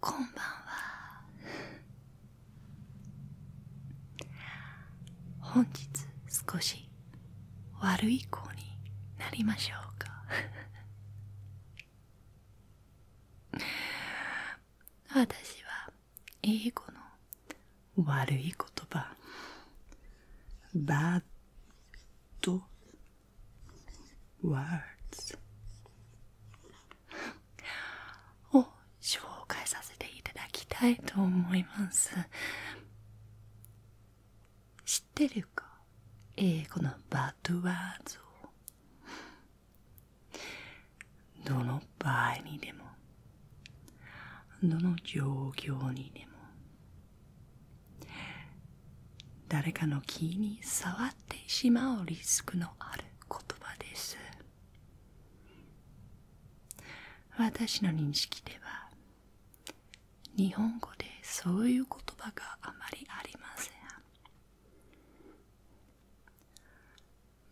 こんばんは本日少し悪い子になりましょうか私は英語の悪い言葉バッドワーズを紹介させていただきたいと思います知ってるか英語のバッドワーズをどの場合にでもどの状況にでも誰かの気に触ってしまうリスクのある言葉です私の認識では日本語でそういう言葉があまりありません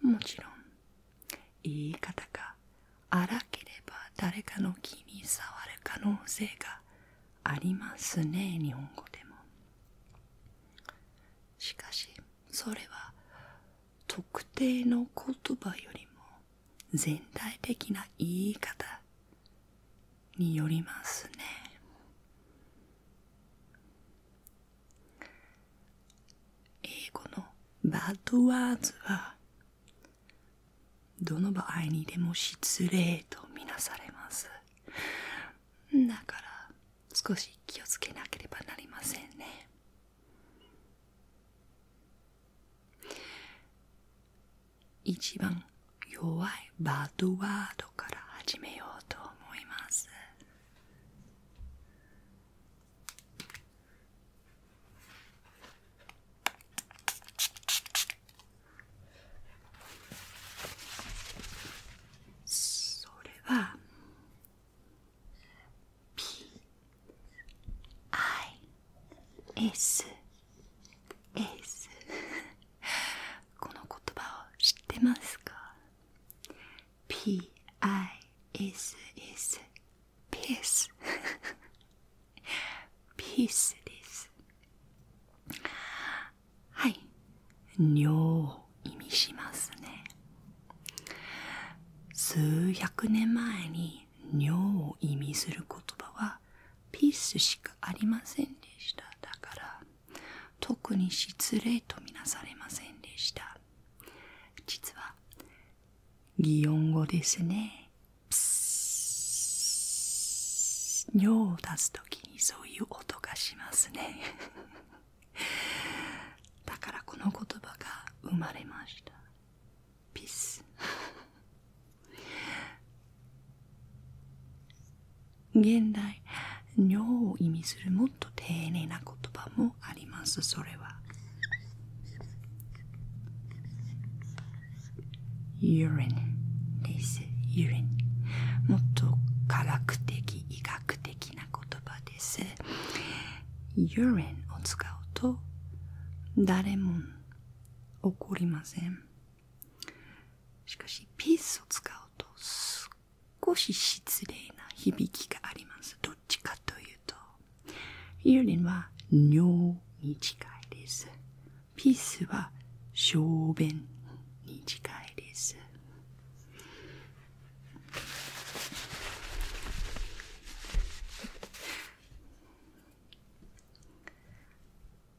もちろん言い方が荒ければ誰かの気に障る可能性がありますね日本語でもしかしそれは特定の言葉よりも全体的な言い方によりますね英語のバッドワーズはどの場合にでも失礼とみなされますだから少し気をつけなければなりませんね一番弱いバッドワードから始めようと思いますそれはピ。アイ。PIS ス。この言葉を知ってますか P-I-S-S ピースピースですはい尿を意味しますね数百年前に尿を意味する言葉はピースしかありませんでしただから特に失礼とみなされませんでした実は擬音語ですね尿を出す時にそういう音がしますね だからこの言葉が生まれましたピス現代尿を意味するもっと丁寧な言葉もありますそれは u r i n です。u r i n もっと科学的医学的な言葉です。u r i n を使うと誰も怒りません。しかし、ピースを使うと少し失礼な響きがあります。どっちかというと、イルリンは尿に近いです。ピースは小便に近いです。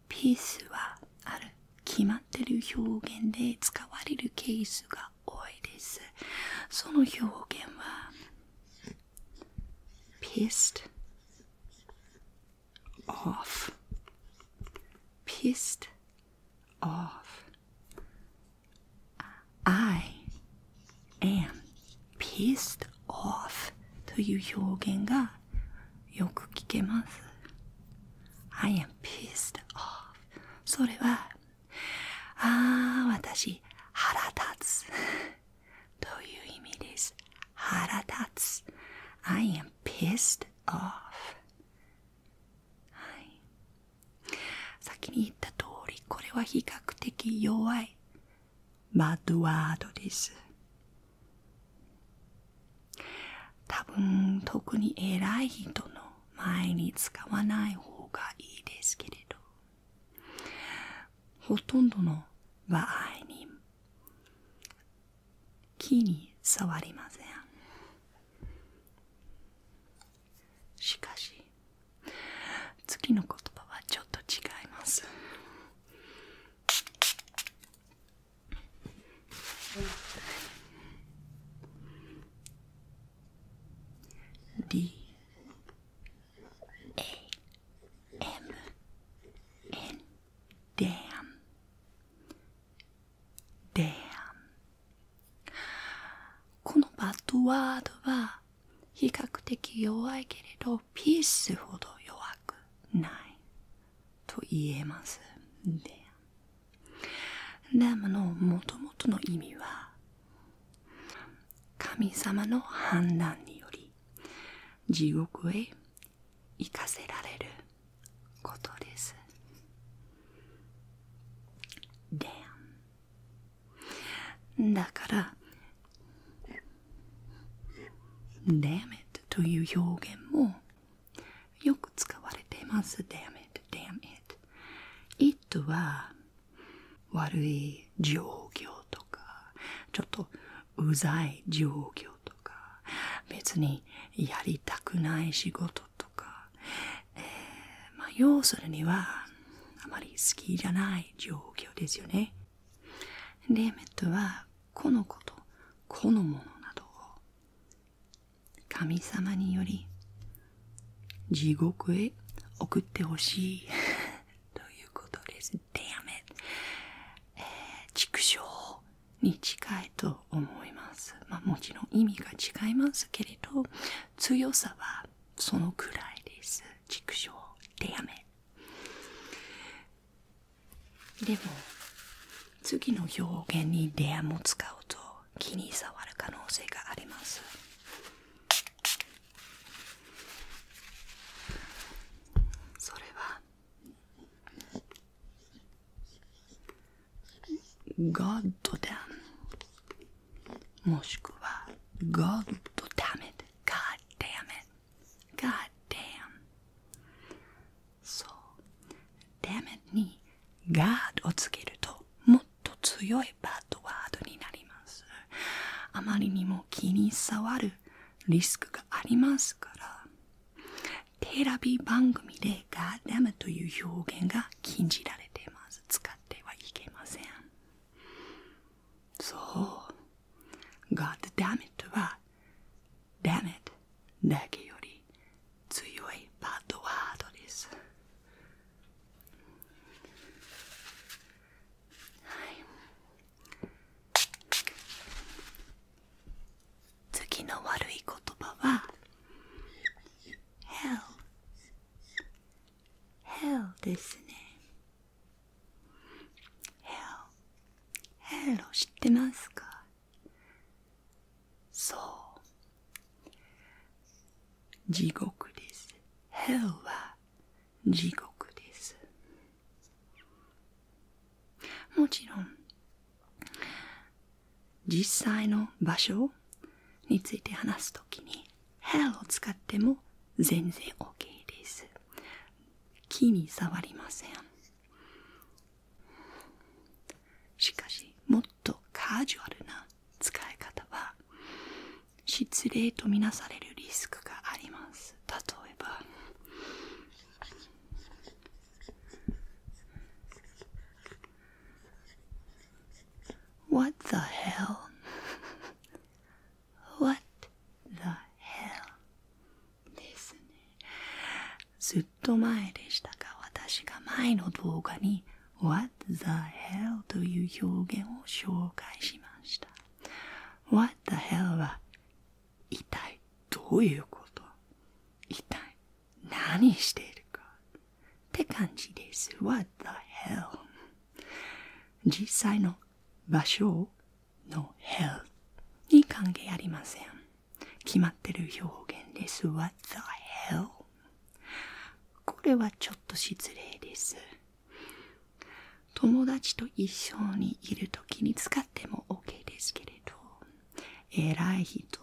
ピースはある決まってる表現で使われるケースが多いです。その表現は pissed off pissed off I am pissed off という表現がよく聞けます。I am pissed off それはああ私腹立つ という意味です腹立つ I am pissed off、はい、先に言った通りこれは比較的弱いバッドワードです多分特に偉い人の前に使わない方がいいですけれどほとんどの場合に木に障りませんしかし次の言葉はちょっと違います D A M N d a m d a m このバッドワードは比較的弱いけれどピースほど弱くないと言えます。d a m ラムのもともとの意味は神様の判断により地獄へ行かせられることです。d a だから、ダメ m という表現もよく使われています。d メ m n i ッ d a m は悪い状況とか、ちょっとうざい状況とか、別にやりたくない仕事とか、えー、まあ要するにはあまり好きじゃない状況ですよね。d メッ n はこのこと、このものなどを神様により地獄へ送ってほしい ということです。Damn it! 畜生に近いと思います。まもちろん意味が違いますけれど、強さはそのくらいです。畜生 Damn it! でも次の表現にレアも使うと気に障る可能性がありますそれは「God damn」もしくは「God damn it」「God damn it」「God damn」そうダメ m m にガードをつけるともっと強いバッドワードになりますあまりにも気に障るリスクがありますからテレビ番組でガー d damn という表現が禁じられています使ってはいけませんそうガードダメ m n はダメ。m n だけより強いバッドワードです。次の悪い言葉は hell hell ですね hell hell 知ってますかそう地獄です Hell は地獄ですもちろん実際の場所について話すときに Hell を使っても全然 OK です木に触りませんしかしもっと。とカジュアルな使い方は失礼とみなされるリスクがあります例えば「What the hell? What the hell?」ですねと前でしたか。私が前の動画に What the hell という表現を紹介しました What the hell は一体どういうこと一体何しているかって感じです What the hell 実際の場所の hell に関係ありません決まってる表現です。What the hell? これはちょっと失礼です。友達と一緒にいる時に使っても OK ですけれど、偉い人、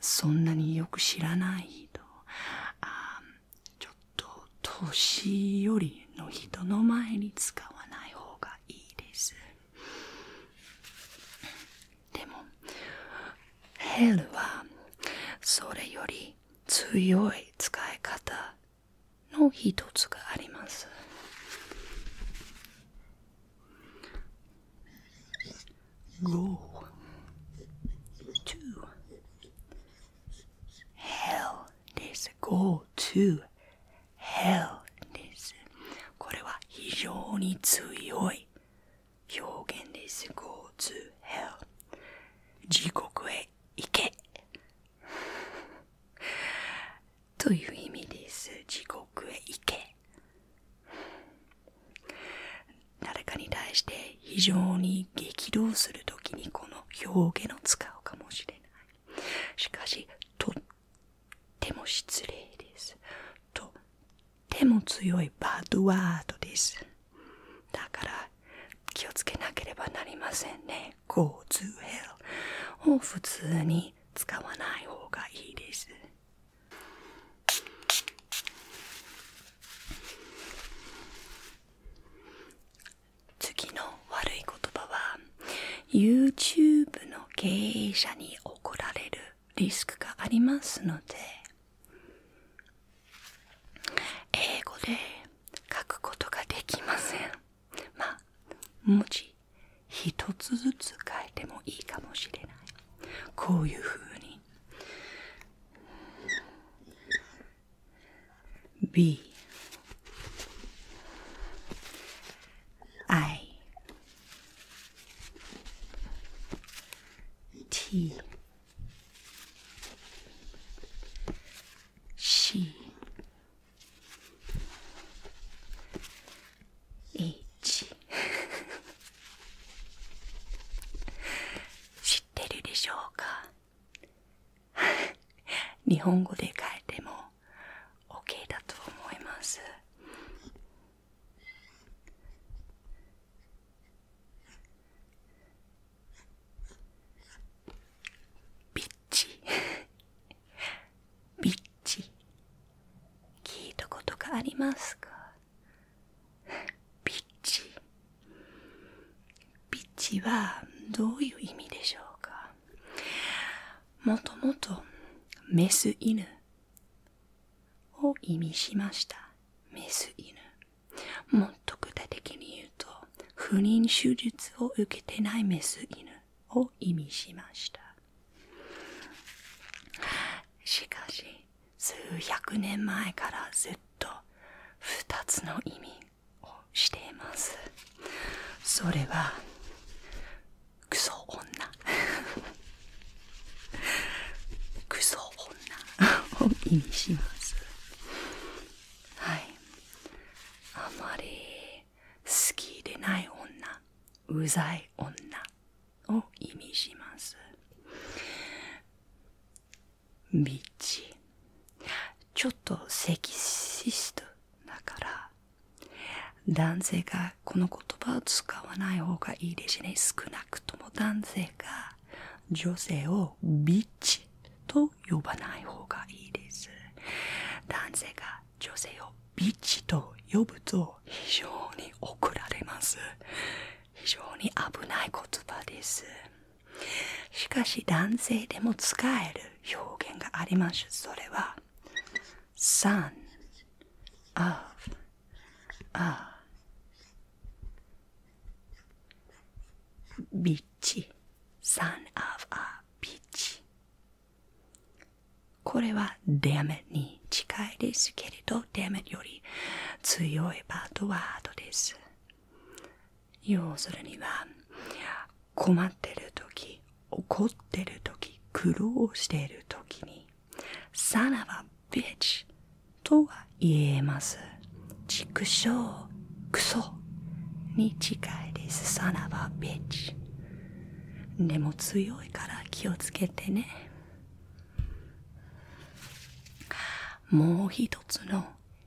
そんなによく知らない人、あちょっと年寄りの人の前に使わない方がいいです。でもヘルはそれより強い使い方の一つがあります5 o hell です g o to hell ですこれは非常に強い表現です Go to hell 地獄へ行け という意味です地獄へ行け誰かに対して非常に激動する時にこの表現を使うかもしれないしかしとっても失礼ですとても強いバッドワードですだから気をつけなければなりませんね Go to hell を普通に使わない方がいいです次の悪い言葉は YouTube の経営者に怒られるリスクがありますので英語で書くことができませんまあ文字一つずつ書いてもいいかもしれないこういうふうに B I T C H 知ってるでしょうか日本語で書いても OK だと思いますピッチピ ッチ聞いたことがありますかピッチピッチはどういう意味でしょうかもともとメス犬を意味しました。メス犬。もっと具体的に言うと、不妊手術を受けてないメス犬を意味しました。しかし、数百年前からずっと2つの意味をしています。それは、クソ女。女 クソ女を意味しますはいあまり好きでない女うざい女を意味しますビッチちょっとセキシストだから男性がこの言葉を使わない方がいいですね。少なくとも男性が女性をビッチと呼ばない方がいいです。男性が女性をビッチと呼ぶと非常に怒られます。非常に危ない言葉です。しかし男性でも使える表現があります。それは son of あビッチ son of a bitch これは d a m に近いですけれど d a m より強いバッドワードです要するには困ってる時怒ってる時苦労している時に son b i とは言えます。畜生、クソに近いです。さらば b i t でも強いから気をつけてね。もう一つの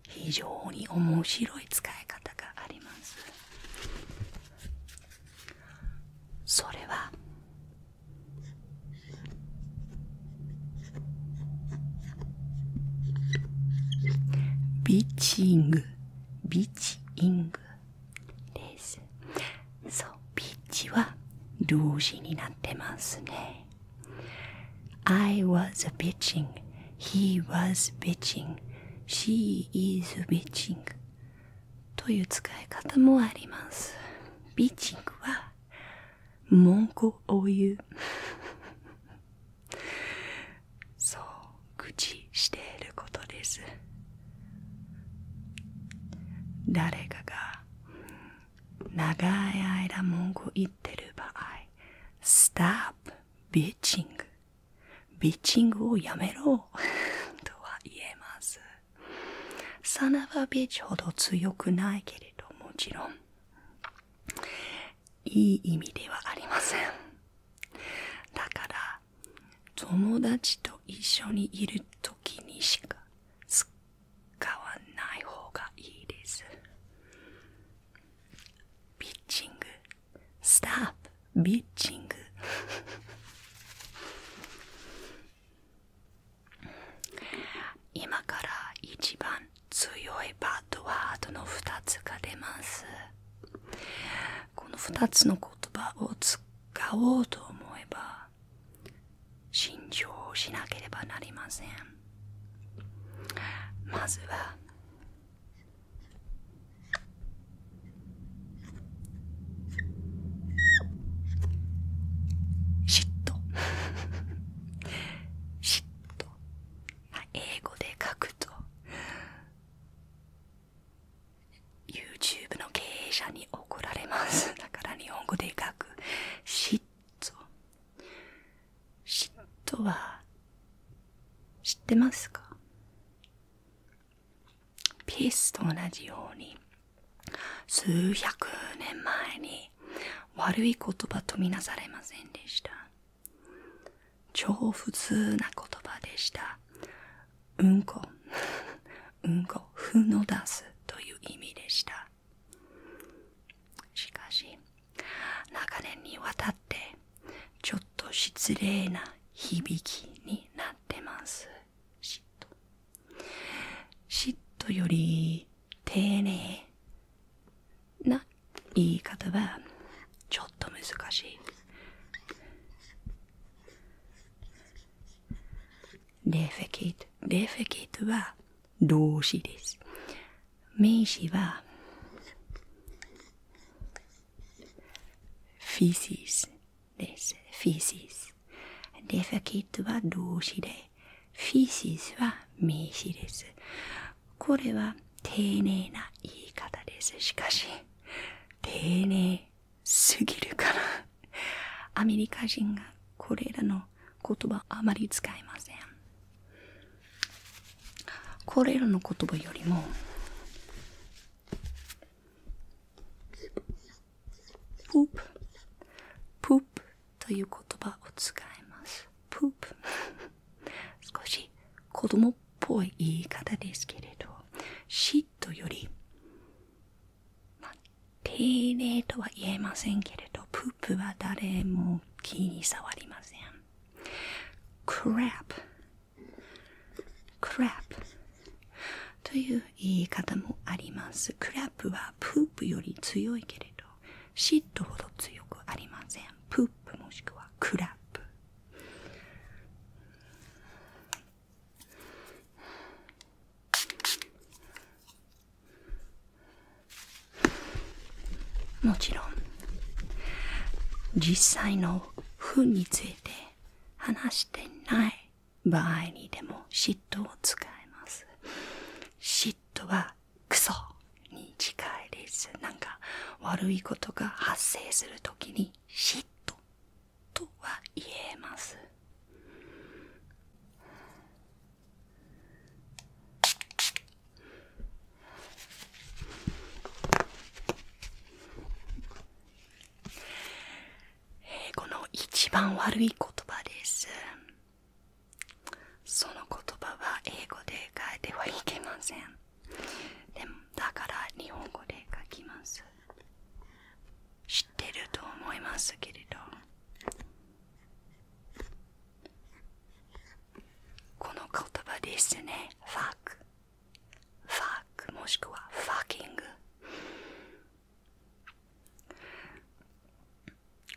非常に面白い使い方があります。それはビーチングビーチイングですそうビーチは動詞になってますね I was bitching he was bitching she is bitching という使い方もありますビッチングは文句を言う そう愚痴していることです誰かが長い間文句言ってる場合 Stop b i t c h ビッチングをやめろ とは言えますサナバビッチほど強くないけれどもちろんいい意味ではありませんだから友達と一緒にいる時にしか使わない方がいいですピッチングスタッフピッチング今から一番強いパッドはあとの2つが出ますこの2つの言葉を使おうと思えば信慎をしなければなりませんまずは嫉妬嫉妬、英語で書くと YouTube の経営者に怒られます だから日本語で書く嫉妬嫉妬は知ってますかピースと同じように数百年前に悪い言葉とみなされませんでした超普通な言葉でしたうんこ うんこふの出すという意味でしたしかし長年にわたってちょっと失礼な響きになってます嫉妬嫉妬より丁寧な言い方はちょっと難しいレフェケートレフェキートは動詞です名詞はフィシスです。f e シ e s デファキットは動詞で、f e シ e s は名詞です。これは丁寧な言い方です。しかし、丁寧すぎるから。アメリカ人がこれらの言葉あまり使いません。これらの言葉よりも、プープ p poop という言葉を使いますプープ p 少し子供っぽい言い方ですけれどシットよりまあ丁寧とは言えませんけれどプープは誰も気に触りません c r a プ c r a プという言い方もあります。クラップはプープより強いけれど、シットほど強くありません。プープもしくはクラップ。もちろん実際の糞について話してない場合にでも嫉妬を使います嫉妬はクソに近いですなんか悪いことが発生するときに嫉妬とは言えます英語の一番悪い言葉ですその言葉は英語で書いてはいけませんでもだから日本語で書きます知ってると思いますけれどこの言葉ですねファックファックもしくはファッキング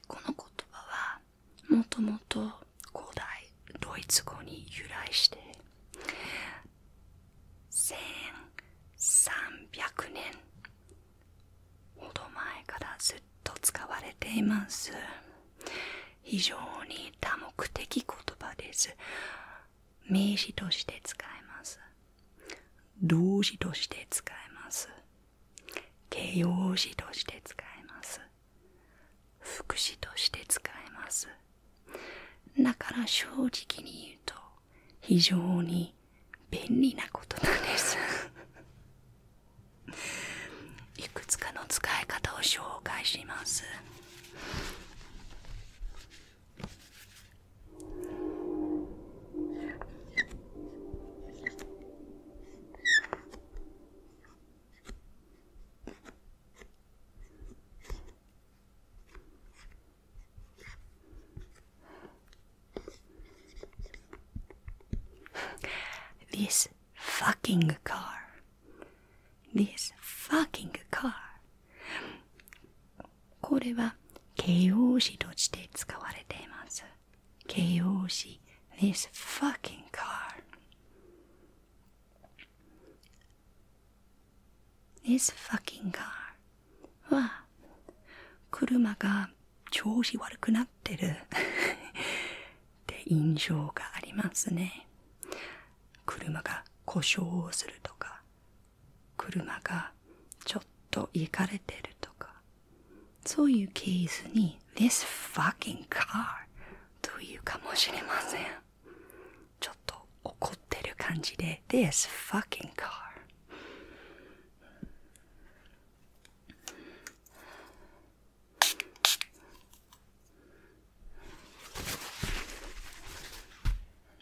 この言葉はもともと古代ドイツ語に由来して1300年ほど前からずっと使われています非常に多目的言葉です名詞として使えます動詞として使えます。形容詞として使えます。副詞として使えます。だから正直に言うと非常に便利なことなんです。いくつかの使い方を紹介します。This fucking car. This fucking car. これは形容詞として使われています。形容詞 This fucking car This fucking car は車が調子悪くなってるって印象がありますね。車が故障するとか車がちょっと行かれてるとかそういうケースに This fucking car というかもしれませんちょっと怒ってる感じで This fucking car e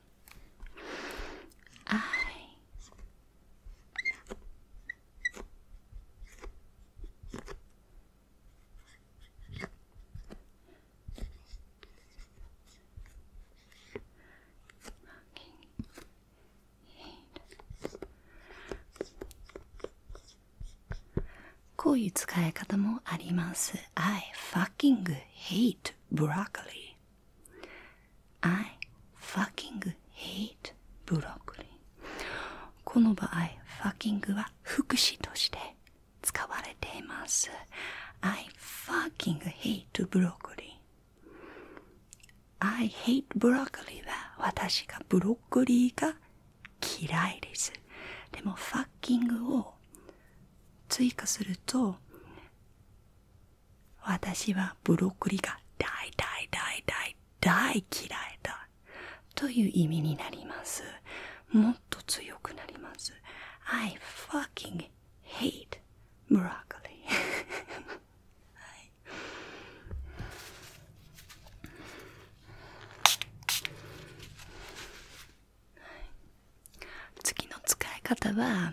こういう使い方もあります。I fucking hate broccoli. I fucking hate broccoli この場合 fucking は副詞として使われています I fucking hate broccoli I hate broccoli は私がブロッコリーが嫌いですでも fucking を追加すると私はブロッコリーが大大大大大嫌いだという意味になります。もっと強くなります。I fucking hate broccoli、次の使い方は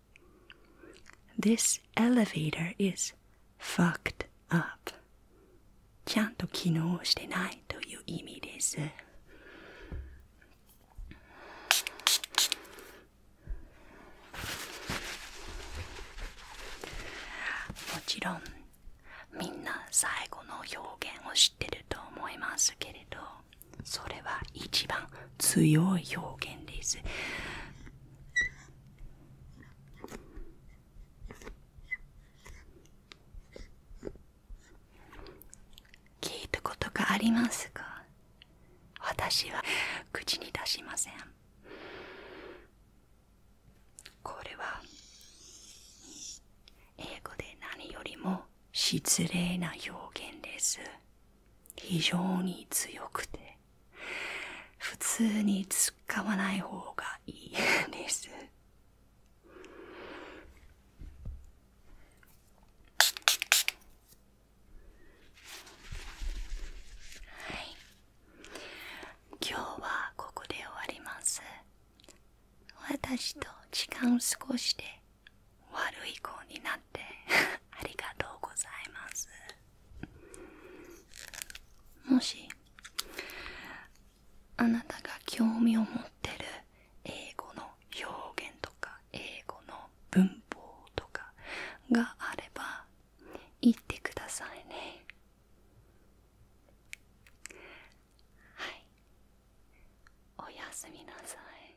This elevator is fucked up. ちゃんと機能してないという意味です。もちろんみんな最後の表現を知ってると思いますけれどそれは一番強い表現です。聞いたことがありますか私は口に出しません。これは英語で何よりも失礼な表現です。非常に強くて普通に使わない方がいいですはい今日はここで終わります私と時間を過ごして悪い子になって ありがとうございますもしあなたが興味を持ってる英語の表現とか英語の文法とかがあれば言ってくださいねはいおやすみなさい